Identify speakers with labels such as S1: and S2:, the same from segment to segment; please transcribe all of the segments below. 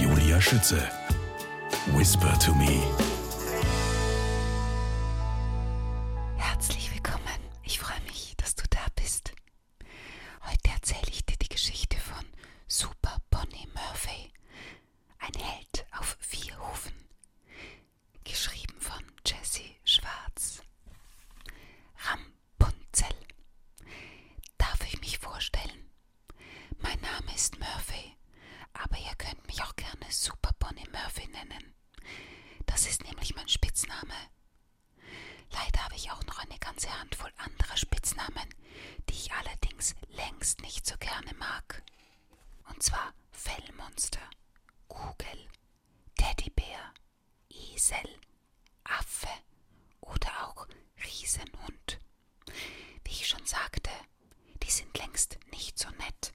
S1: Julia Schütze. Whisper to me. Herzlich willkommen. Ich freue mich, dass du da bist. Heute erzähle ich dir die Geschichte von Super Bonnie Murphy. Ein Held auf vier Hufen. Geschrieben von Jesse Schwarz. Ram Punzel. Darf ich mich vorstellen? Mein Name ist Murphy, aber ihr könnt mich auch gerne Super Bonnie Murphy nennen. Das ist nämlich mein Spitzname. Leider habe ich auch noch eine ganze Handvoll anderer Spitznamen, die ich allerdings längst nicht so gerne mag. Und zwar Fellmonster, Kugel, Teddybär, Esel, Affe oder auch Riesenhund. Wie ich schon sagte, die sind längst nicht so nett.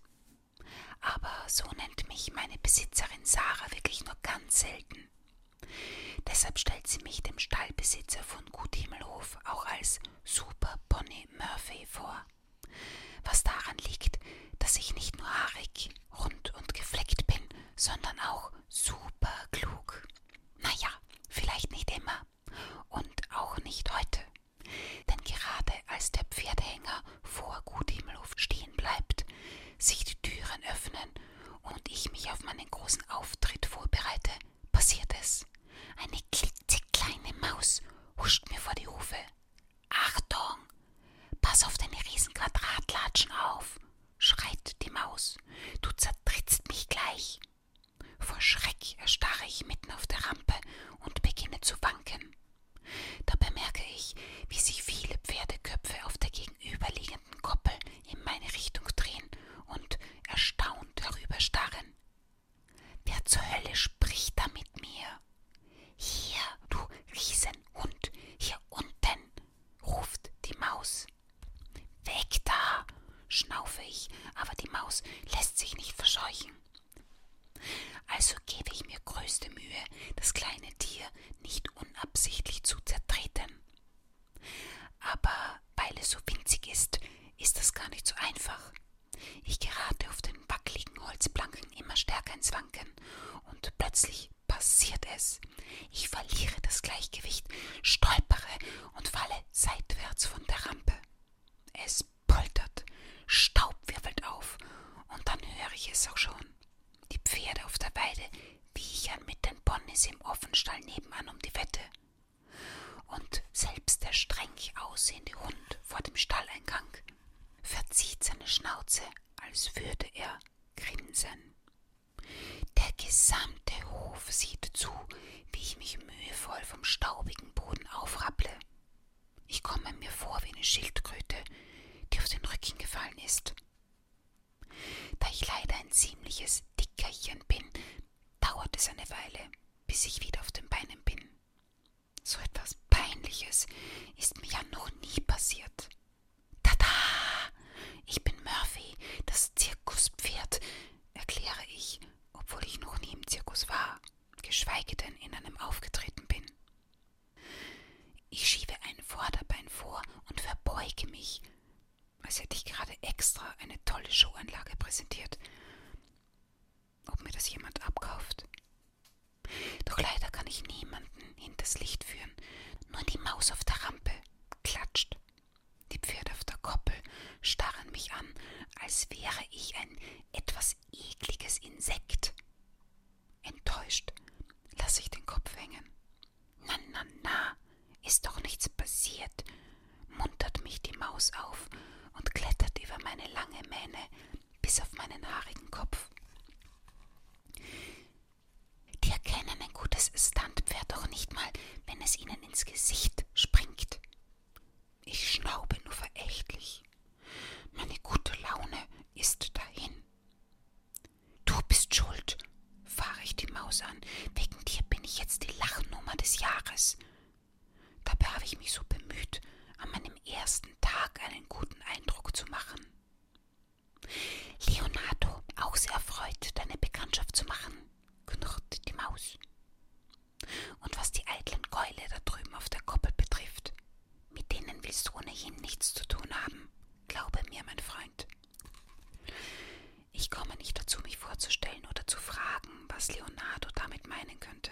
S1: Aber so nennt mich meine Besitzerin Sarah wirklich nur ganz selten. Deshalb stellt sie mich dem Stallbesitzer von Gut Himmelhof auch als Super Pony Murphy vor. Was daran liegt, dass ich nicht nur haarig, rund und gefleckt bin, sondern auch super klug. Naja, vielleicht nicht immer und auch nicht heute. Denn gerade als der Pferdehänger vor Guthimmelhof stehen bleibt, sich die Türen öffnen und ich mich auf meinen großen Auftritt vorbereite, passiert es. Eine klitzekleine Maus huscht mir vor die Hufe. Achtung! Pass auf deine riesen Quadratlatschen auf! schreit die Maus. Du zertrittst mich gleich. Vor Schreck erstarre ich mitten auf der Rampe und beginne zu wanken. Da bemerke ich, wie sich viele Pferdeköpfe auf der gegenüberliegenden Koppel in meine Richtung drehen und erstaunt herüberstarren. Wer zur Hölle spricht da mit mir? Hier, du Riesenhund, hier unten, ruft die Maus. Weg da! schnaufe ich, aber die Maus lässt sich nicht verscheuchen. Also gebe ich mir größte Mühe, das kleine Tier nicht unabsichtlich zu zertreten. Aber weil es so winzig ist, ist das gar nicht so einfach. Ich gerate auf den wackeligen Holzplanken immer stärker ins Wanken und plötzlich passiert es. Ich verliere das Gleichgewicht, stolpere und falle seitwärts von der Rampe. Es poltert, Staub wirbelt auf und dann höre ich es auch schon. Die Pferde auf der Weide wiechern mit den Ponys im Offenstall nebenan um die Wette. Und selbst der streng aussehende Hund vor dem Stalleingang verzieht seine Schnauze, als würde er grinsen. Der gesamte Hof sieht zu, wie ich mich mühevoll vom staubigen Boden aufrapple. Ich komme mir vor wie eine Schildkröte, die auf den Rücken gefallen ist. Da ich leider ein ziemliches Dickerchen bin, dauert es eine Weile, bis ich wieder auf den Beinen bin. So etwas Peinliches ist mir ja noch nie passiert. Tada! Ich bin Murphy, das Zirkuspferd, erkläre ich, obwohl ich noch nie im Zirkus war, geschweige denn in einem aufgetreten bin. Ich schiebe ein Vorderbein vor und verbeuge mich, als hätte ich gerade extra eine tolle Showanlage präsentiert. Ob mir das jemand abkauft? Doch leider kann ich niemanden hinters Licht führen, nur die Maus auf der Rampe klatscht die Pferde auf der Koppel starren mich an, als wäre ich ein etwas ekliges Insekt. Enttäuscht lasse ich den Kopf hängen. Na, na, na, ist doch nichts passiert, muntert mich die Maus auf und klettert über meine lange Mähne bis auf meinen haarigen Kopf. Die erkennen ein gutes Standpferd doch nicht mal, wenn es ihnen ihnen ins Gesicht springt. Ich schnaube nur verächtlich. Meine gute Laune ist dahin. Du bist schuld, fahre ich die Maus an. Wegen dir bin ich jetzt die Lachnummer des Jahres. Dabei habe ich mich so bemüht, an meinem ersten Tag einen guten Eindruck zu machen. Leonardo, auch sehr erfreut, deine Bekanntschaft zu machen knurrt die Maus. Und was die eitlen Keule da drüben auf der Koppel betrifft, mit denen willst du ohnehin nichts zu tun haben, glaube mir, mein Freund. Ich komme nicht dazu, mich vorzustellen oder zu fragen, was Leonardo damit meinen könnte.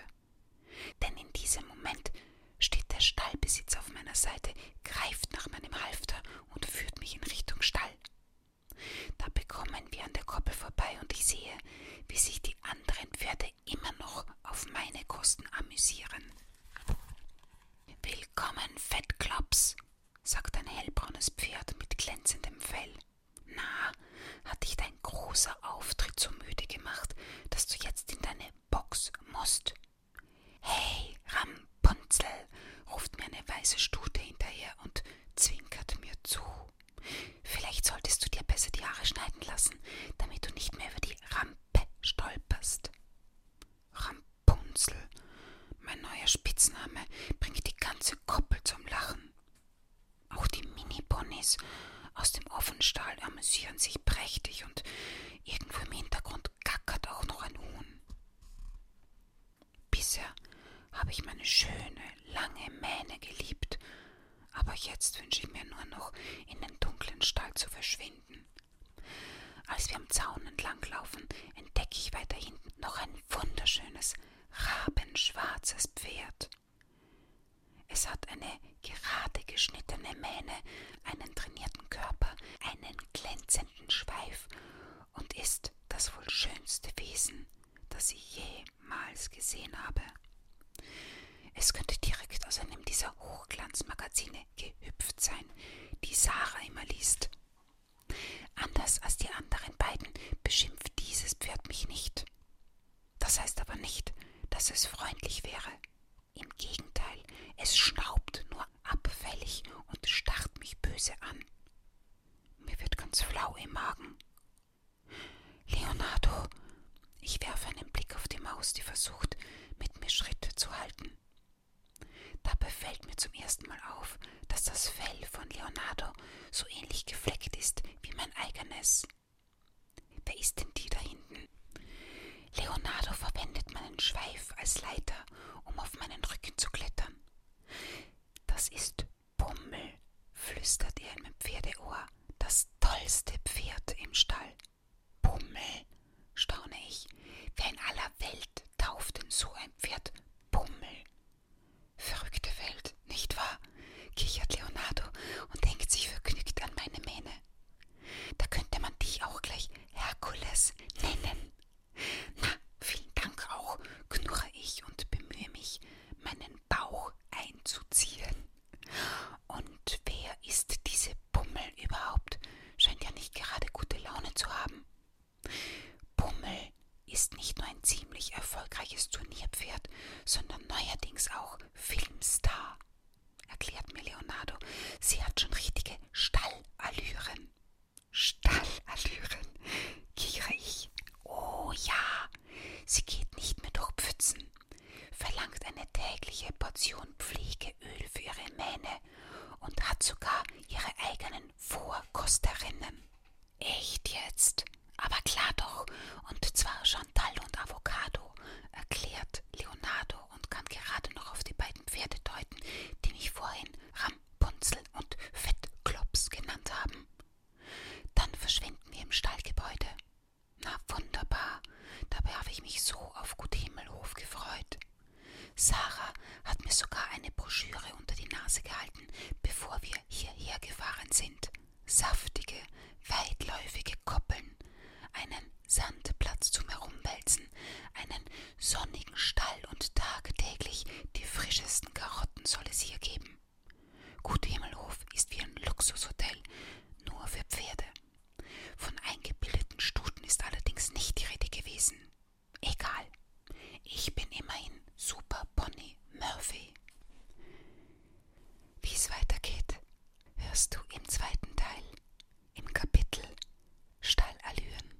S1: Denn in diesem Moment steht der Stallbesitzer auf meiner Seite, greift nach meinem Halfter und führt mich in Richtung Stall. Da bekommen wir an der Koppel vorbei und ich sehe, wie sich die anderen Pferde immer noch auf meine Kosten amüsieren. Willkommen, Fettklops, sagt ein hellbraunes Pferd mit glänzendem Fell. Na, hat dich dein großer Auftritt so müde gemacht, dass du jetzt in deine Box musst? Hey, Rampunzel, ruft mir eine weiße Stute hinterher und zwinkert mir zu. Vielleicht solltest du dir besser die Haare schneiden lassen, damit du nicht mehr über die Rampe stolperst. Rampunzel, mein neuer Spitzname, bringt die ganze Koppel zum Lachen. Auch die Mini-Ponys aus dem Offenstall amüsieren sich prächtig und irgendwo im Hintergrund gackert auch noch ein Huhn. Bisher habe ich meine schöne, lange Mähne geliebt, aber jetzt wünsche ich mir nur noch, in den dunklen Stall zu verschwinden. Als wir am Zaun entlang laufen, entdecke ich weiter hinten noch ein wunderschönes, rabenschwarzes Pferd. Es hat eine gerade geschnittene Mähne, einen trainierten Körper, einen glänzenden Schweif und ist ist das wohl schönste Wesen, das ich jemals gesehen habe. Es könnte direkt aus einem dieser Hochglanzmagazine gehüpft sein, die Sarah immer liest. Anders als die anderen beiden beschimpft dieses Pferd mich nicht. Das heißt aber nicht, dass es freundlich wäre. Im Gegenteil, es schnaubt nur abfällig und starrt mich böse an. Mir wird ganz flau im Magen. Leonardo, ich werfe einen Blick auf die Maus, die versucht, mit mir Schritte zu halten. Dabei fällt mir zum ersten Mal auf, dass das Fell von Leonardo so ähnlich gefleckt ist wie mein eigenes. Wer ist denn die da hinten? Leonardo verwendet meinen Schweif als Leiter, um auf meinen Rücken zu klettern. Das ist Pummel, flüstert er in meinem Pferdeohr. Das tollste Pferd im Stall. Pummel, staune ich. Wer in aller Welt tauft denn so ein Pferd Pummel? Verrückte Welt, nicht wahr? kichert Leonardo und hängt sich vergnügt an meine Mähne. Da könnte man dich auch gleich Herkules nennen. Na, vielen Dank auch, knurre ich und bemühe mich, meinen Bauch einzuziehen. Und wer ist diese Pummel überhaupt? Scheint ja nicht gerade gute Laune zu haben. Pummel ist nicht nur ein ziemlich erfolgreiches Turnierpferd, sondern neuerdings auch Filmstar, erklärt mir Leonardo. Sie hat schon richtige Stallallüren. Stallallüren, kichre ich. Oh ja, sie geht nicht mehr durch Pfützen, verlangt eine tägliche Portion Pflegeöl für ihre Mähne und hat sogar ihre eigenen Vorkosterinnen. Echt jetzt? Aber klar doch, und zwar Chantal und Avocado, erklärt Leonardo und kann gerade noch auf die beiden Pferde deuten, die mich vorhin Ram Punzel und Fettklops genannt haben. Dann verschwinden wir im Stallgebäude. Na wunderbar, dabei habe ich mich so auf Gut Himmelhof gefreut. Sarah hat mir sogar eine Broschüre unter die Nase gehalten, bevor wir hierher gefahren sind. Saftige, weitläufige Koppeln, einen Sandplatz zum Herumwälzen, einen sonnigen Stall und tagtäglich die frischesten Karotten Antworten soll es hier geben. Gut Himmelhof ist wie ein Luxushotel, nur für Pferde. Von eingebildeten Stuten ist allerdings nicht die Rede gewesen. Egal. Ich bin immerhin Super Bonnie Murphy. Wie es weitergeht, hörst du im zweiten Teil, im Kapitel Stallallüren.